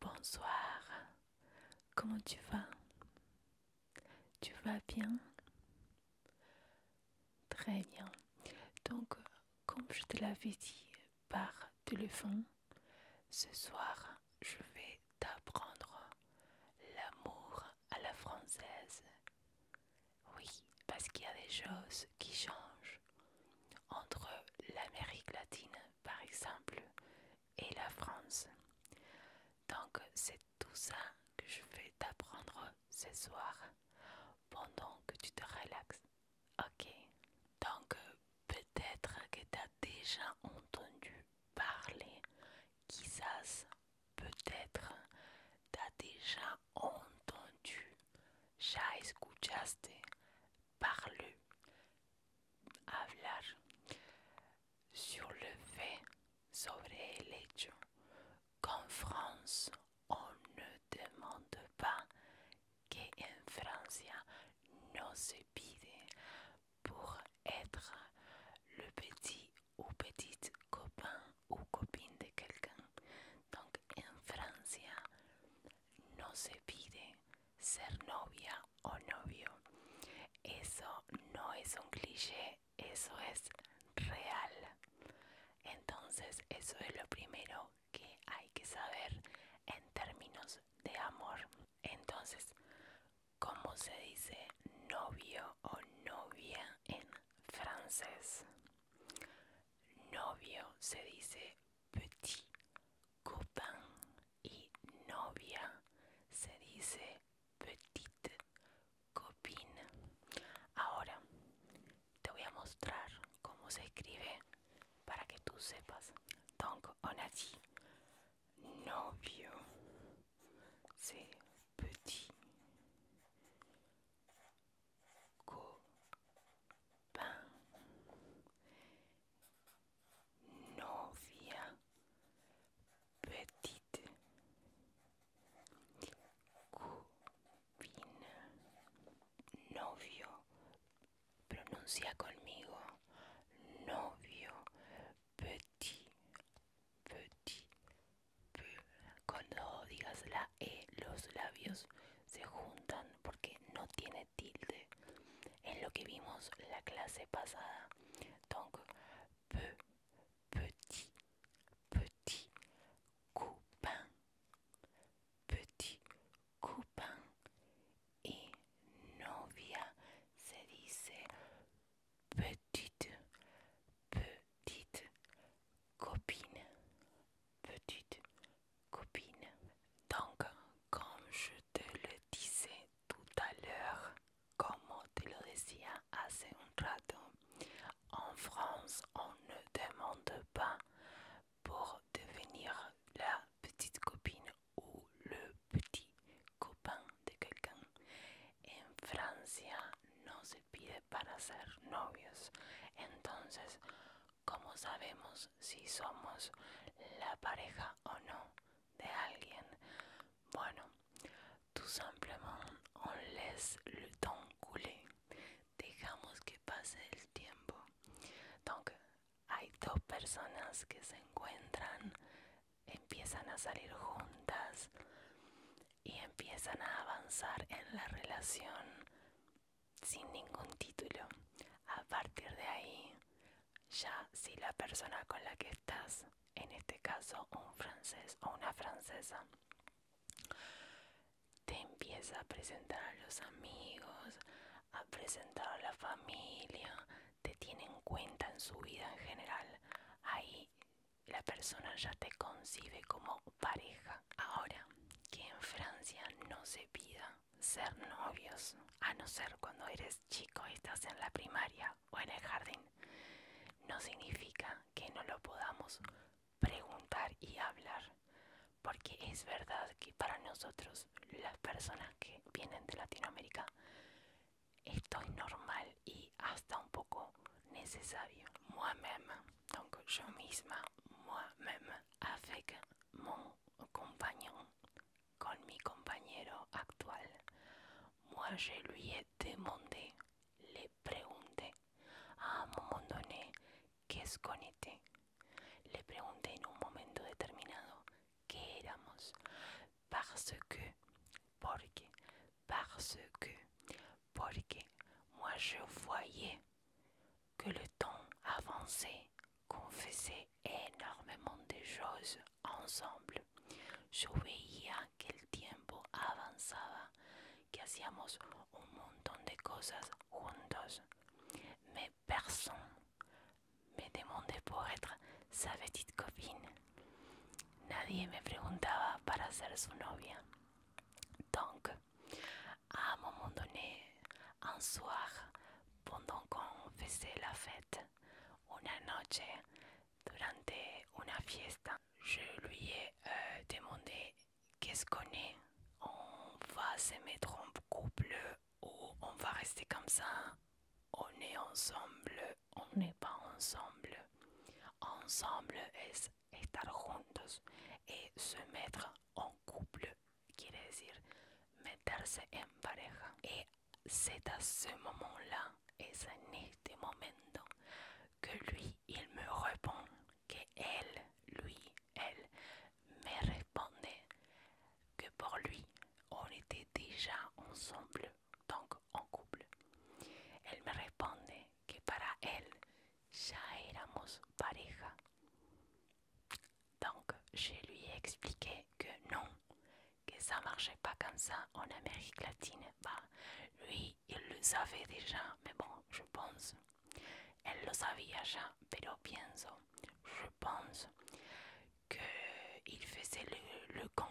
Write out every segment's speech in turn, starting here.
Bonsoir, comment tu vas Tu vas bien Très bien. Donc, euh, comme je te l'avais dit par téléphone, ce soir, je vais t'apprendre l'amour à la française. Oui, parce qu'il y a des choses qui changent entre l'Amérique latine, par exemple, et la France. Donc c'est tout ça que je vais t'apprendre ce soir pendant que tu te relaxes. Ok. Donc peut-être que tu as déjà entendu parler. Quizás peut-être t'as déjà entendu. ou escuchaste. parler parler sur le fait sobre el hecho qu'en France on ne demande pas qu'un Francien Francia ne se pide pour être le petit ou petite copain ou copine de quelqu'un. Donc en France no se pide ser novia o novio. Eso no es un cliché, eso es real. Entonces eso es lo primero que hay que saber en términos de amor. Entonces, ¿cómo se dice novio o novia en francés? Novio se dice petit copain y novia se dice petite copine. Ahora te voy a mostrar cómo se escribe para que tú sepas. Donc on a novio, c'est petit copain novia petite cubina novio pronuncia conmigo novio petit petit cuando digas la e los labios se juntan porque no tiene En tilde ce que vimos la clase pasada. Donc, peu, petit, petit, copain, petit, copain et novia se dice petite, petite, copine, petite, copine. Donc, comme je te le disais tout à l'heure, comme te le disais hace un rato, en France, on ne demande pas pour devenir la petite copine ou le petit copain de quelqu'un. En Francia no se pide para ser novios. Entonces, nous sabemos si somos la pareja o no de alguien. Bueno, tu simplement, on laisse le temps Dejamos que pase el tiempo. hay dos personas que se encuentran, empiezan a salir juntas y empiezan a avanzar en la relación sin ningún título. A partir de ahí ya si la persona con la que estás, en este caso un francés o una francesa, te empieza a presentar a los amigos, a presentar a la familia, te tiene en cuenta en su vida en general, ahí la persona ya te concibe como pareja. Ahora, que en Francia no se pida ser novios, a no ser cuando eres chico y estás en la primaria o en el jardín, no significa que no lo podamos preguntar y hablar, porque es verdad que para nosotros, las personas que vienen de Latinoamérica, esto es normal y hasta un poco necesario. Moi-même, donc yo misma, moi-même, avec con mi compañero actual. Moi, je lui ai demandé, le pregunté, à un moment donné, qu'est-ce qu'on était. Le pregunté en un moment determinado, Que Parce que, parce que, moi je voyais que le temps avançait confessé énormément de choses ensemble. Je voyais que le tiempo avançait, que hacíamos un montón de choses juntos. Mais personne me demandait pour être sa petite copine. Nadie me demandait pour ser su novia. Donc, à un moment donné, un soir, pendant qu'on faisait la fête, une noche, durant une fiesta, je lui ai euh, demandé qu'est-ce qu'on est, on va se mettre en couple ou on va rester comme ça, on est ensemble, on n'est pas ensemble. Ensemble est estar juntos et se mettre en couple dire decir meterse en pareja. Et c'est à ce moment-là, et c'est en ce moment que lui, il me répond, que elle, lui, elle, me répondait que pour lui, on était déjà ensemble, donc en couple. Elle me répondait que para elle ya éramos pareja. Donc, je lui ai expliqué que non, que ça marchait pas comme ça en Amérique latine. Bah, lui, il le savait déjà, mais bon, je pense. Elle le savait déjà. pero je pense, qu'il faisait le, con,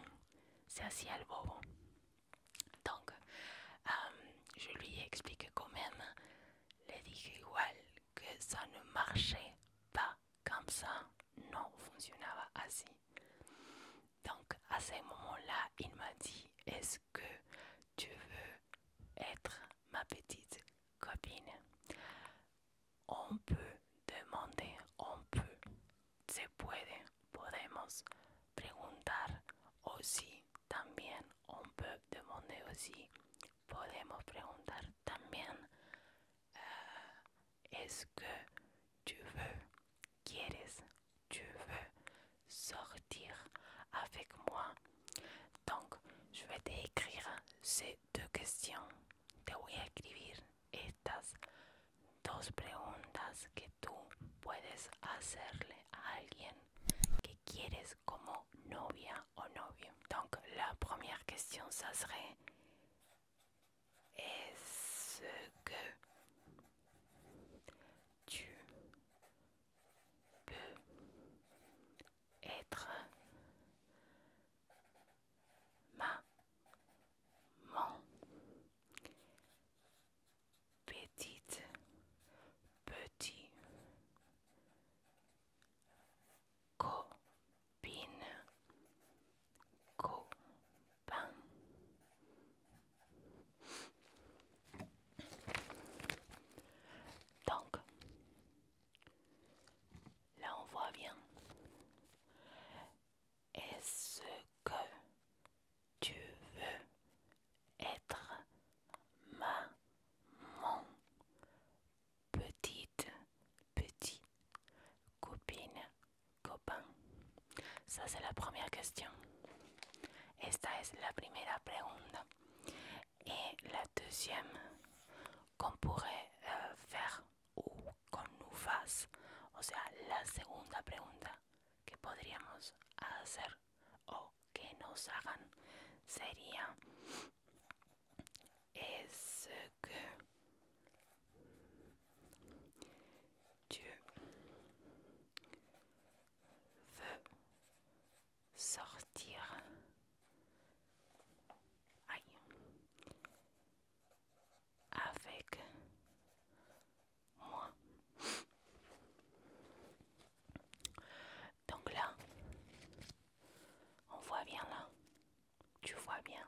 c'est si Donc, euh, je lui ai expliqué quand même, Lady dije que ça ne marchait pas comme ça non fonctionnava ainsi. Donc à ce moment-là, il m'a dit, est-ce que tu veux être ma petite copine On peut demander, on peut, se puede, podemos preguntar aussi, también, on peut demander aussi, podemos preguntar también, est-ce que tu veux, quieres, tu veux sortir avec moi? Donc, je vais t'écrire ces deux questions. Te vais a estas dos preguntas que tu puedes hacerle a alguien que quieres comme novia o novio. Donc, la première question, ça serait est-ce que tu peux être ma mon petite petit copine, Donc, là on voit bien. Est-ce que tu veux être maman petite, petit, copine, copain. Ça c'est la première question. Esta es la première pregunta. Et la deuxième qu'on pourrait euh, faire ou qu'on nous fasse, o sea, la segunda pregunta que podríamos hacer o que nos hagan sería est-ce que tu veux sortir avec moi donc là, on voit bien là tu ves bien,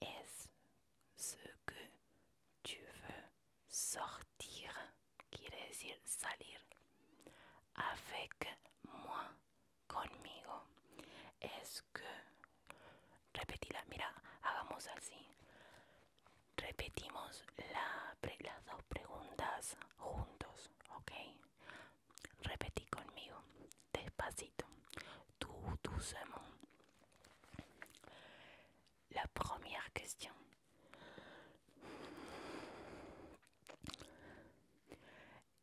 ¿Es ce que tu veux sortir, quiere decir salir, avec moi, conmigo? Es que, repetila, mira, hagamos así. Repetimos las dos preguntas juntos, ¿ok? Repetí conmigo, despacito, tout doucement. La première question.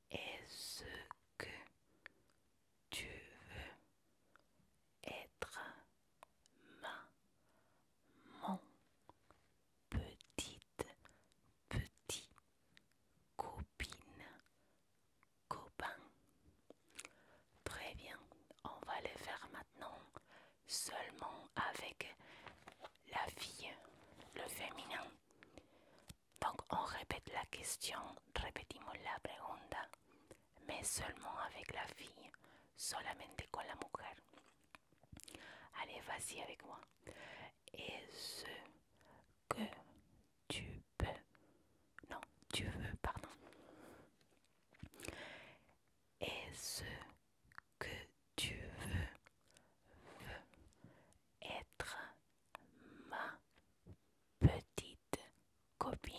Est-ce que tu veux être maman petite, petit, copine, copain. Très bien, on va le faire maintenant seulement avec la fille, le féminin. Donc on répète la question, repetimos la pregunta, mais seulement avec la fille, solamente con la mujer. Allez, vas-y avec moi et ce que tu peux. Non, tu veux, pardon. Et ce que tu veux, veux être ma petite copine.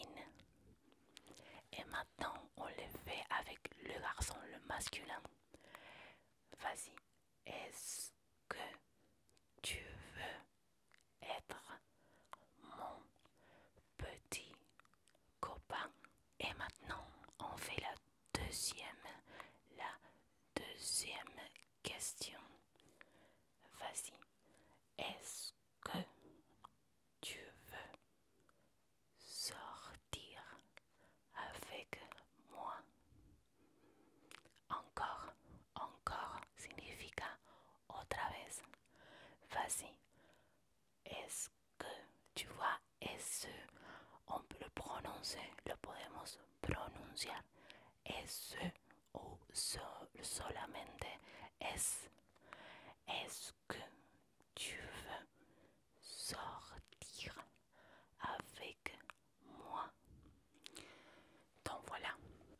Et maintenant, on le fait avec le garçon, le masculin. Vas-y, est-ce que tu veux être mon petit copain Et maintenant, on fait la deuxième, la deuxième question. Vas-y. Est-ce que tu veux sortir avec moi. Encore, encore signifie otra vez. Vas-y. Est-ce que tu vois est-ce on peut le prononcer, le podemos pronunciar est-ce ou seulement solamente es. Est-ce que tu veux sortir avec moi. Donc voilà.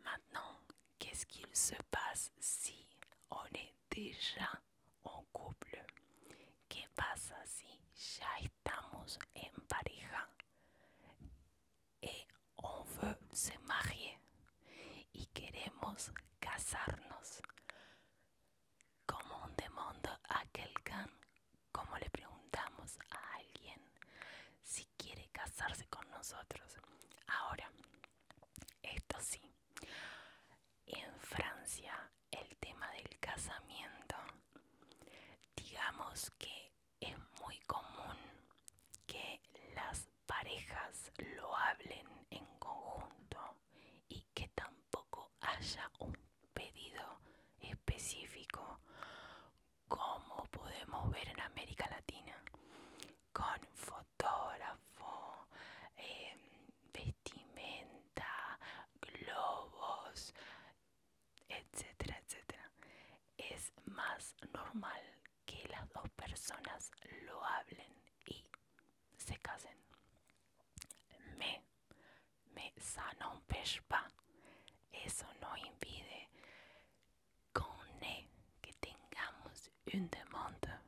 Maintenant, qu'est-ce qu'il se passe si on est déjà en couple? Que passe si ya estamos en pareja et on veut se marier y queremos casarnos? comme on demande à quelqu'un como le preguntamos a alguien si quiere casarse con nosotros. Ahora, esto sí, en Francia el tema del casamiento, digamos que es muy común que las parejas lo hablen en conjunto y que tampoco haya un pedido específico, como podemos ver en América Latina, con fotógrafo, em, vestimenta, globos, etcétera, etcétera. Es más normal que las dos personas lo hablen y se casen. Me mais ça n'empêche pas, ça no impide qu'on ait, que tengamos une demande.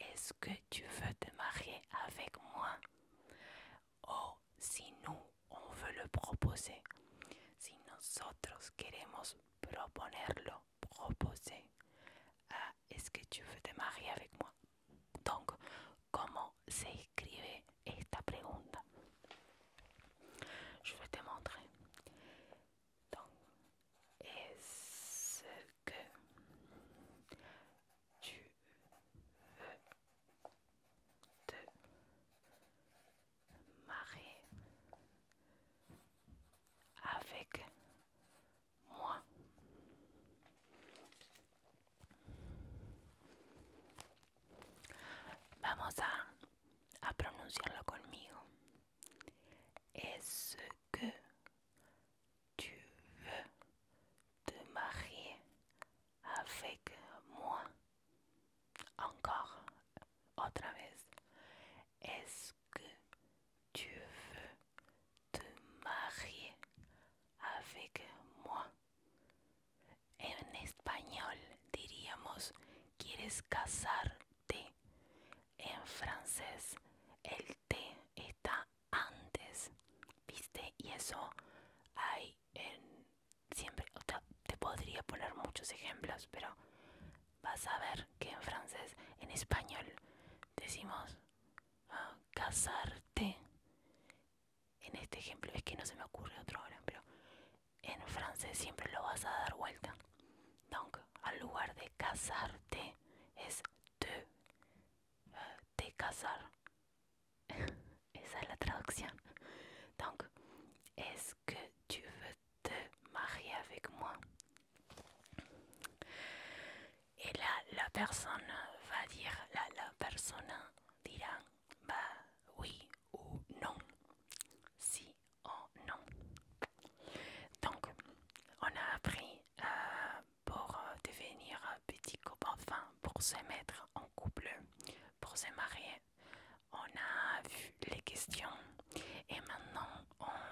Est-ce que tu veux te marier avec moi? Ou si nous, on veut le proposer. Si nosotros queremos proponerlo, proposer. Ah, est-ce que tu veux te marier avec moi? Donc, comment s'écrivait cette question? Je vais te montrer. Donc, est-ce que tu veux te marier avec moi? Vamos a, pronunciarlo conmigo. Est-ce que tu veux te marier avec moi? Encore, otra vez. Est-ce que tu veux te marier avec moi? En español diríamos quieres casarte. En francés el T está antes. ¿Viste? Y eso hay en siempre. te podría poner muchos ejemplos, pero vas a ver que en francés, en español, decimos ah, casarte en este ejemplo es que no se me ocurre otro ejemplo. en francés siempre lo vas a dar vuelta. Donc, al lugar de casarte es te, casar. Esa es la traducción. Donc, est-ce que tu veux te marier avec moi? la persona va decir la, la persona dirá, bah oui ou non. Si ou oh, non. Donc, on a appris euh, pour euh, devenir petit couple, enfin pour se mettre en couple, pour se marier. On a vu les questions et maintenant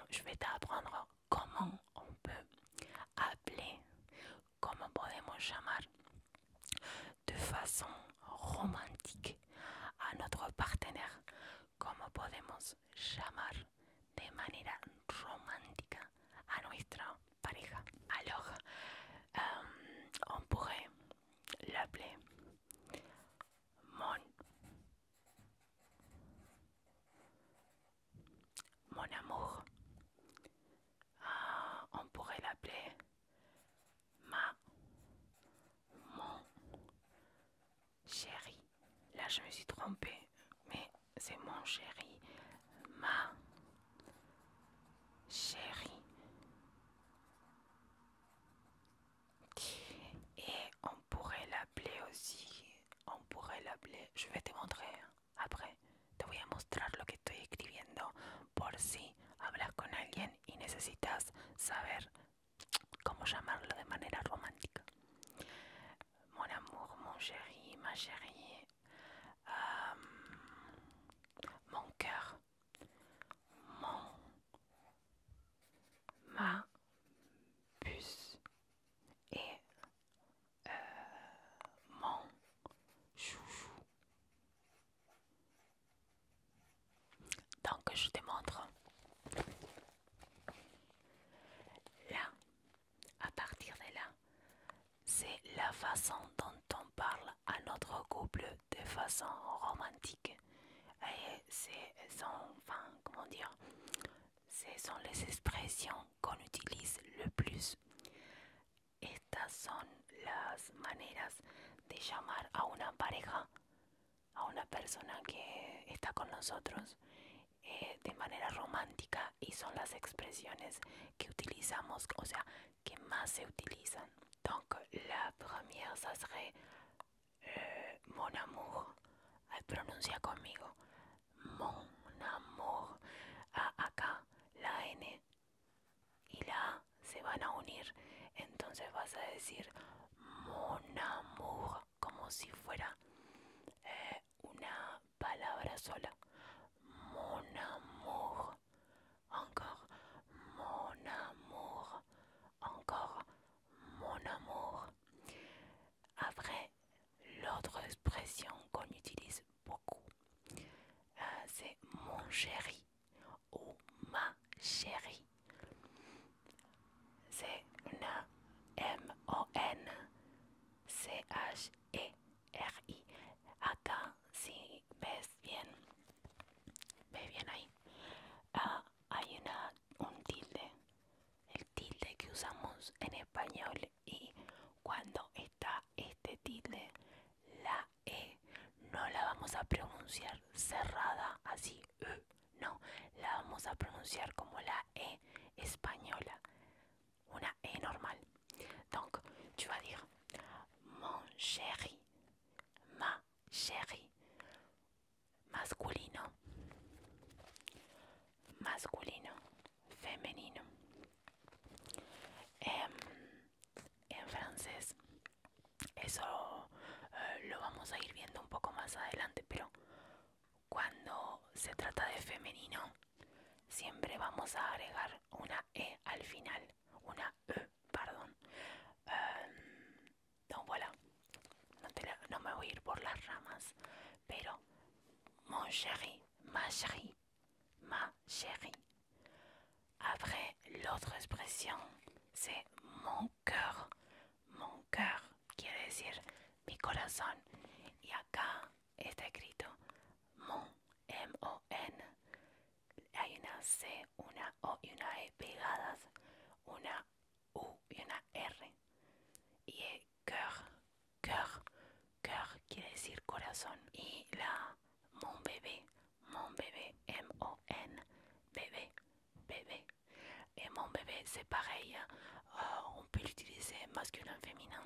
je vais t'apprendre comment on peut appeler, Comment pouvons-nous llamar, de façon romantique à notre partenaire, Comment pouvons-nous llamar de manière romantique à notre pareja. Alors, euh, on pourrait l'appeler mon, mon amour. Euh, on pourrait l'appeler Ma, mon, chéri. Là, je me suis trompée, mais c'est mon chéri. Ma, chéri. Et on pourrait l'appeler aussi. On pourrait l'appeler. Je vais te montrer après. Te voy a mostrar lo que estoy escribiendo por si hablas con alguien y necesitas saber cómo llamarlo de manera romántica. Mon amour, mon chéri, ma chérie, mon cœur, mon, ma, puce et euh, mon chouchou. Donc je te montre. Là, à partir de là, c'est la façon dont on parle à notre couple de façon romantique. Et c'est enfin, comment dire, ce sont les expressions qu'on utilise le plus. Estas son las maneras de llamar a una pareja, a una persona que está con nosotros eh, de manera romántica y son las expresiones que utilizamos, o sea, que más se utilizan. Donc la première, sería, euh, mon amour. pronuncia conmigo. Mon amour. acá la N y la se van a unir. Entonces vas a decir mon amour como si fuera eh, una palabra sola. Mon amour. Encore mon amour. Encore mon amour. Après, l'autre expresión qu'on utilise poco, Euh, c'est mon chéri o ma chéri C'est una M-O-N-C-H-E-R-I. Acá, si ves bien, ve bien ahí, euh, hay una, un tilde. El tilde que usamos en español y cuando está este tilde, la e no la vamos a pronunciar cerrada así, e. no, la vamos a pronunciar como la E española, una E normal. Donc, tu vas dire mon chéri, ma chéri, masculino, masculino, femenino. Em, en francés. Eso eh, lo vamos a ir viendo un poco más adelante, pero cuando se trata de femenino, siempre vamos a agregar una E al final, una E, perdón. Donc em, no, voilà. no me voy a ir por las ramas, pero mon chéri, ma chérie, ma chérie. Après, l'autre expression, c'est mon cœur. Mon cœur quiere decir mi corazón. Y acá está escrito mon, M-O-N. Hay una C, una O y una E pegadas, una U y una R. Y cœur, cœur, quiere decir corazón. Y la mon bébé, mon bébé, M-O-N, bébé, bébé. Et mon bébé, c'est pareil, hein. euh, on peut l'utiliser masculin, féminin,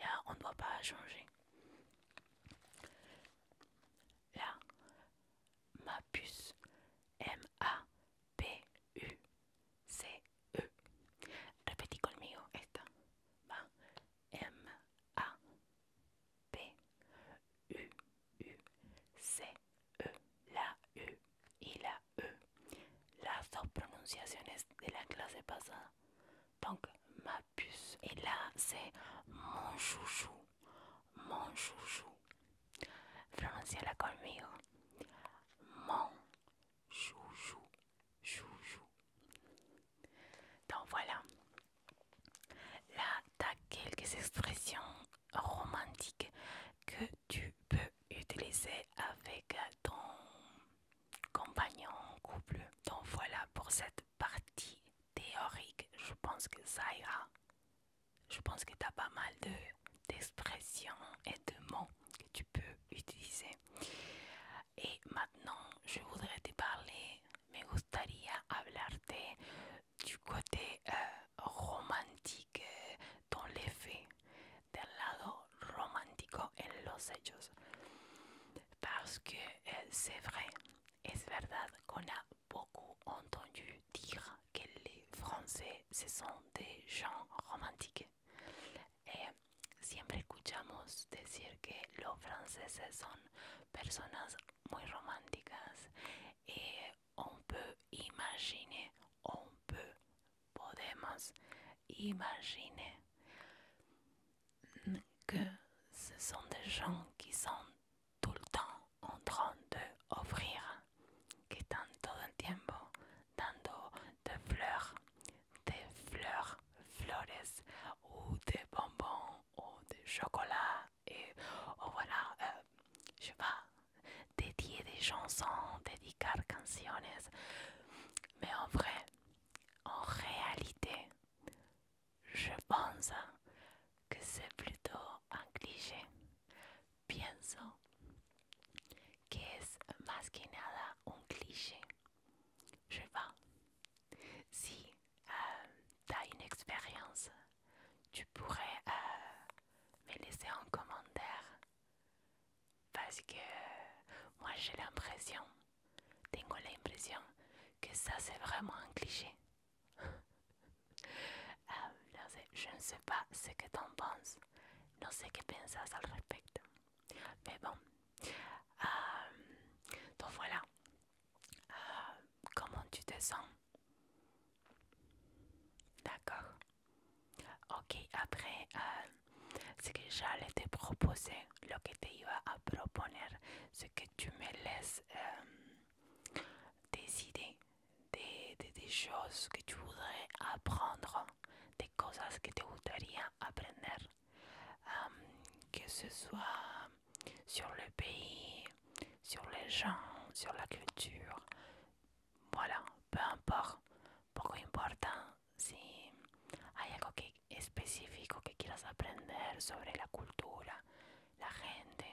euh, on ne doit pas changer. Là, ma puce, M-A-P-U-C-E. Repetí m a u P U U C E la U et la E. Las deux pronunciaciones de la classe passée, Donc ma puce. Et là c'est mon chouchou. Mon chouchou. prononcez-la conmigo. Mon chouchou. Chouchou. Donc voilà. Là, tu as quelques expressions romantiques que tu peux utiliser avec ton compagnon, ou couple. Donc voilà pour cette partie théorique. Je pense que ça ira. Je pense que tu as pas mal d'expressions et de mots que tu peux utiliser. Et maintenant, je voudrais te parler me gustaría hablarte côté euh, romantique dans del lado romántico en los hechos. Parce que euh, c'est es verdad qu'on a beaucoup entendu decir que les Français son sont des gens romantiques. siempre escuchamos decir que los franceses son personas muy romantiques et eh, on peut imaginer on peut podemos imaginer que ce sont des gens qui sont tout le temps en train d'offrir, que sont tout le temps dando de fleurs, des fleurs, flores ou des bonbons ou de chocolat et voilà, euh, je pas, dédier des chansons, des canciones. Mais en vrai, en réalité, je pense que c'est plutôt un cliché. Pienso que es más que nada un cliché. Je pas si euh, tu as une expérience, tu pourrais euh, me laisser en commentaire. Parce que moi j'ai l'impression, tengo l'impression que ça c'est vraiment un cliché. Euh, je ne sais pas ce que en penses, que sé qué ça le respecto. Mais bon, donc voilà, euh, comment tu te sens D'accord. Ok, après, euh, ce que j'allais te proposer, ce que te iba a proposer, c'est que tu me laisses euh, des idées, des, choses que tu voudrais apprendre, des choses que tu voudrais apprendre, que ce soit sur el país, sobre les gente, sobre la cultura Voilà, peu importa, poco importa si hay algo que específico que quieras aprender sobre la cultura, la gente,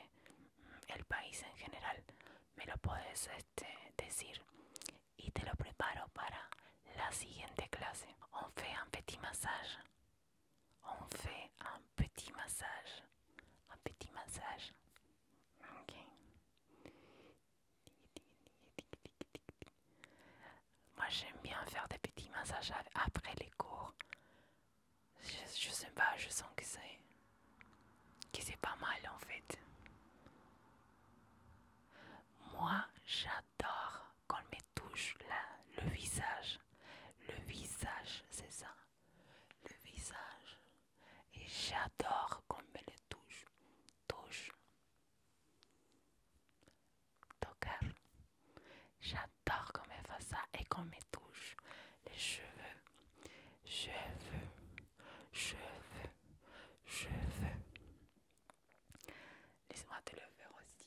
el país en general. Me lo puedes este, decir y te lo preparo para la siguiente clase. On fait un petit massage. on fait un petit massage. Un petit massage. Ok. Moi j'aime bien faire des petits massages après les cours. Je, sais pas, je sens que c'est pas mal en fait. Moi j'adore qu'on me touche là, le visage. Le visage, c'est ça. Le visage. Et j'adore qu'on me le touche. Touche. J'adore qu'on me fasse ça et qu'on me touche. Les cheveux. Cheveux. Cheveux. Cheveux. Laisse-moi te le faire aussi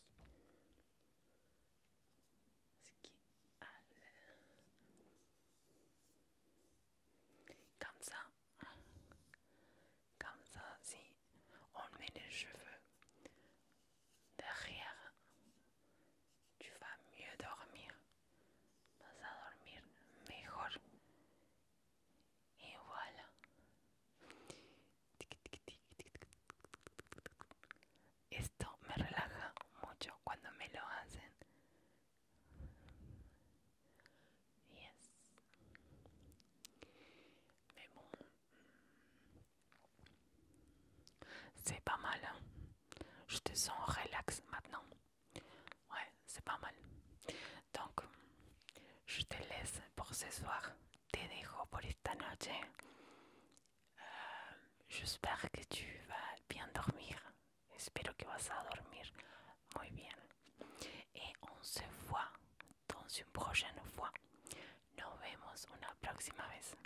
comme ça comme ça si on met les cheveux derrière tu vas mieux dormir vas dormir mejor et voilà Esto me relaja mucho cuando me lo hacen. Yes. Mais bon. C'est pas mal. Je ¿eh? te sens relax maintenant. Ouais, c'est pas mal. Donc, je te laisse por ce soir. Te dejo por esta noche. ¡Espero J'espère que tu vas bien dormir. Espero que vas a dormir muy bien. ¡Y on se voit dans une prochaine fois. Nos vemos una próxima vez.